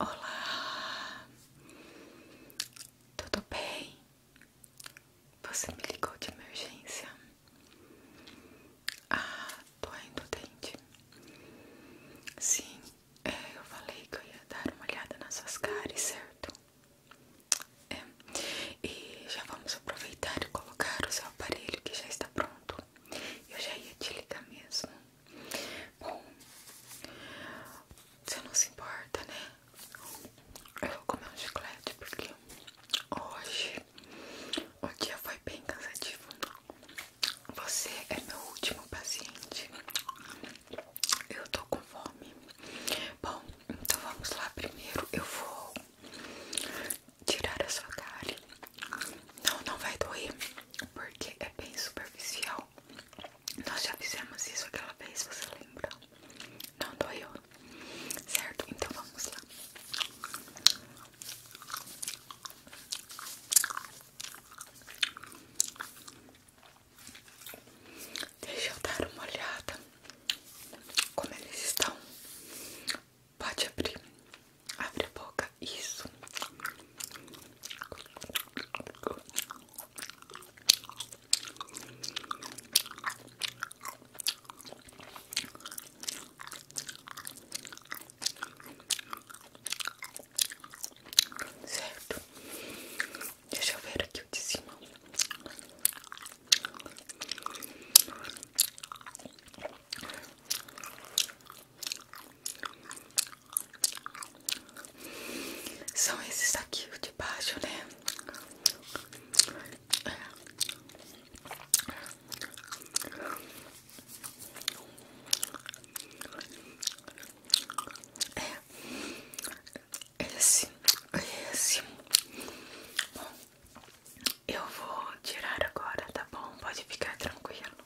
Olá, tudo bem? Você me ligou de emergência? Ah, doendo o dente. Sim, é, eu falei que eu ia dar uma olhada nas suas caras, certo? É. E já vamos aproveitar e colocar o seu aparelho que já está pronto. Eu já ia te ligar mesmo. Bom, você não se importa, né? Eu vou comer um chiclete porque hoje o dia foi bem cansativo. Você é meu último paciente. Eu tô com fome. Bom, então vamos lá primeiro. Eu vou tirar a sua cárie não, não vai doer, porque é bem superficial. Nós já fizemos isso aquela vez, você lembra? Não doeu, certo? Então vamos lá. Deixa eu dar uma olhada como eles estão. Pode abrir. Abre a boca, isso. Certo, deixa eu ver aqui o de cima. São esses aqui de baixo, né? É. é, esse, esse. Bom, eu vou tirar agora, tá bom? Pode ficar tranquilo.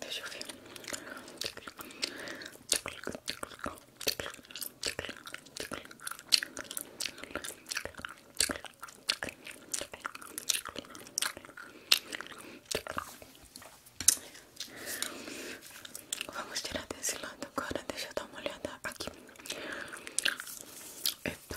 Deixa eu ver. Vamos tirar desse lado agora. Deixa eu dar uma olhada aqui. Epa.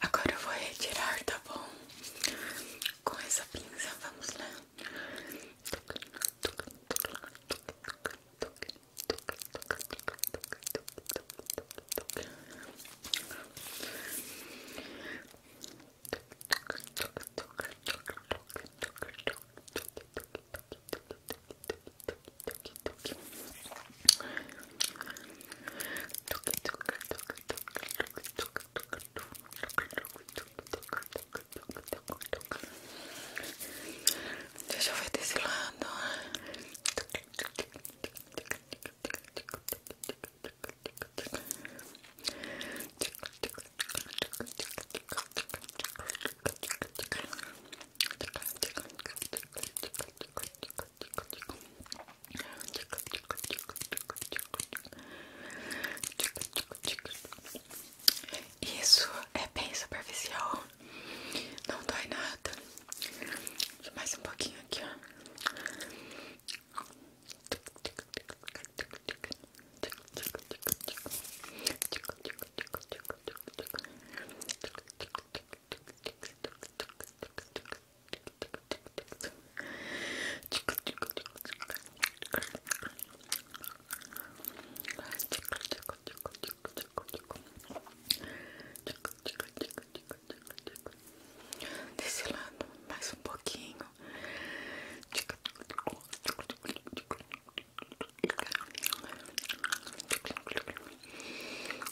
Agora eu vou retirar, tá bom? Com essa pinça, vamos lá. Agora tuque, tuque, tuque, tuque, tuque, tuque, tuque, tuque, Deixa eu ver desse lado. Isso é bem superficial, não dói nada. Deixa mais um pouquinho aqui, ó. Desse lado, mais um pouquinho. Tic,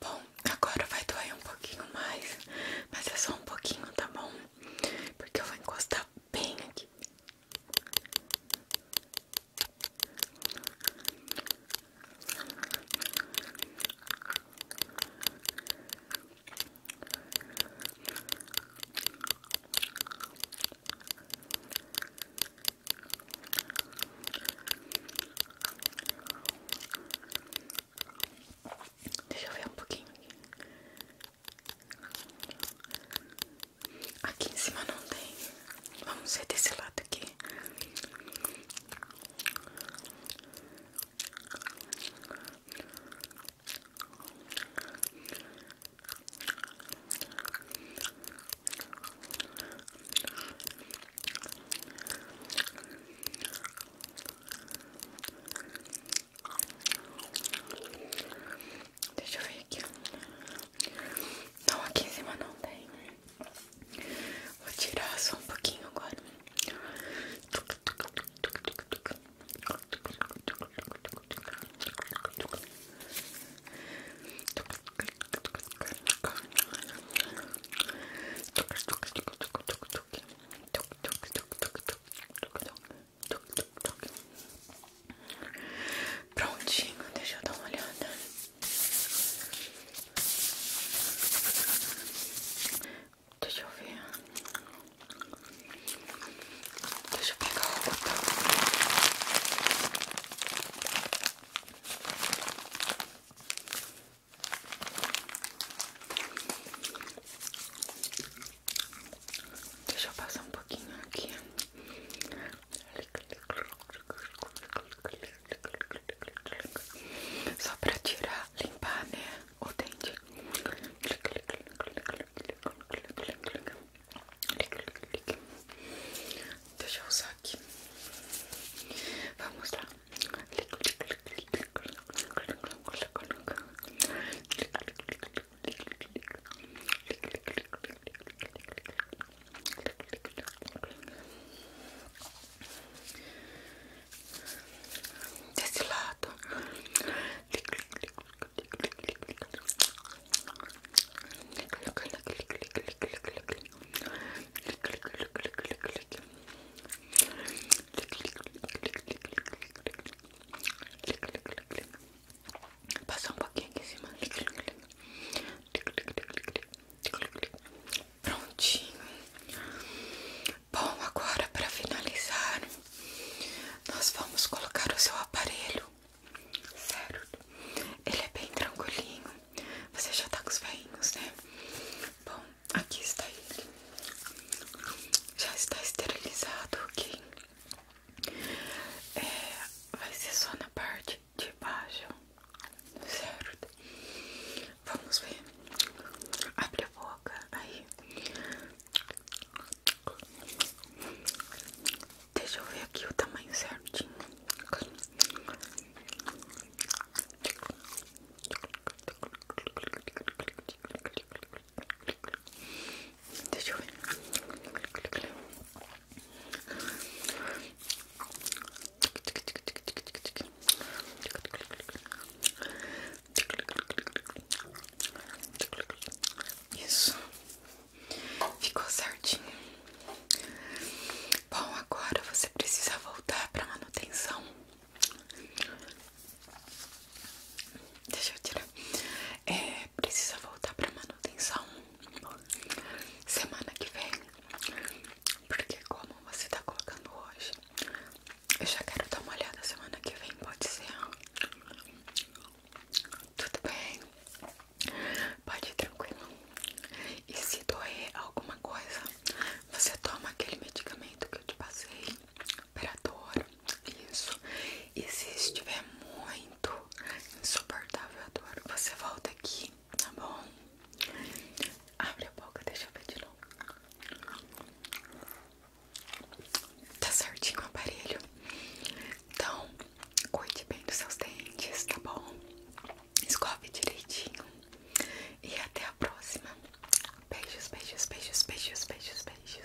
Bom, agora vai doer um pouquinho mais, mas é só um pouquinho, tá bom? Porque eu vou encostar bem aqui. Deixa eu ver um pouquinho. Aqui aqui em cima não tem. Vamos ver desse lado aqui. Deixa eu ver aqui. Não, aqui em cima não tem. Vou tirar só um pouquinho agora. Prontinho, deixa eu dar uma olhada. Deixa eu ver. Deixa eu pegar o botão. Deixa eu passar um pouquinho aqui. Só pra tirar, limpar, né? O dente. Deixa eu usar aqui. Vamos lá. Desse lado Passar um pouquinho aqui em cima. Prontinho. Bom, agora para finalizar, nós vamos colocar o seu aparelho. Certo? Ele é bem tranquilinho. Você já tá com os veinhos, né? Bom, aqui está ele. Já está esterilizado, ok? É, vai ser só na parte de baixo. Certo? Vamos ver. Abre a boca aí. Deixa eu ver aqui o tamanho certinho. Deixa eu ver. Isso ficou certinho. Bom, agora você precisa voltar para manutenção. Deixa eu tirar. É, precisa voltar para manutenção semana que vem, porque como você tá colocando hoje, eu já quero dar uma olhada semana que vem, pode ser? Tudo bem? Pode ir tranquilo. E se doer alguma coisa, você toma aquele medicamento que eu te passei para dor. Isso. E se estiver muito insuportável a dor, você volta aqui, tá bom? Abre a boca, deixa eu ver de novo. Tá certinho o aparelho. Então, cuide bem dos seus dentes, tá bom? Escove direitinho. E até a próxima. Beijos, beijos, beijos, beijos, beijos, beijos.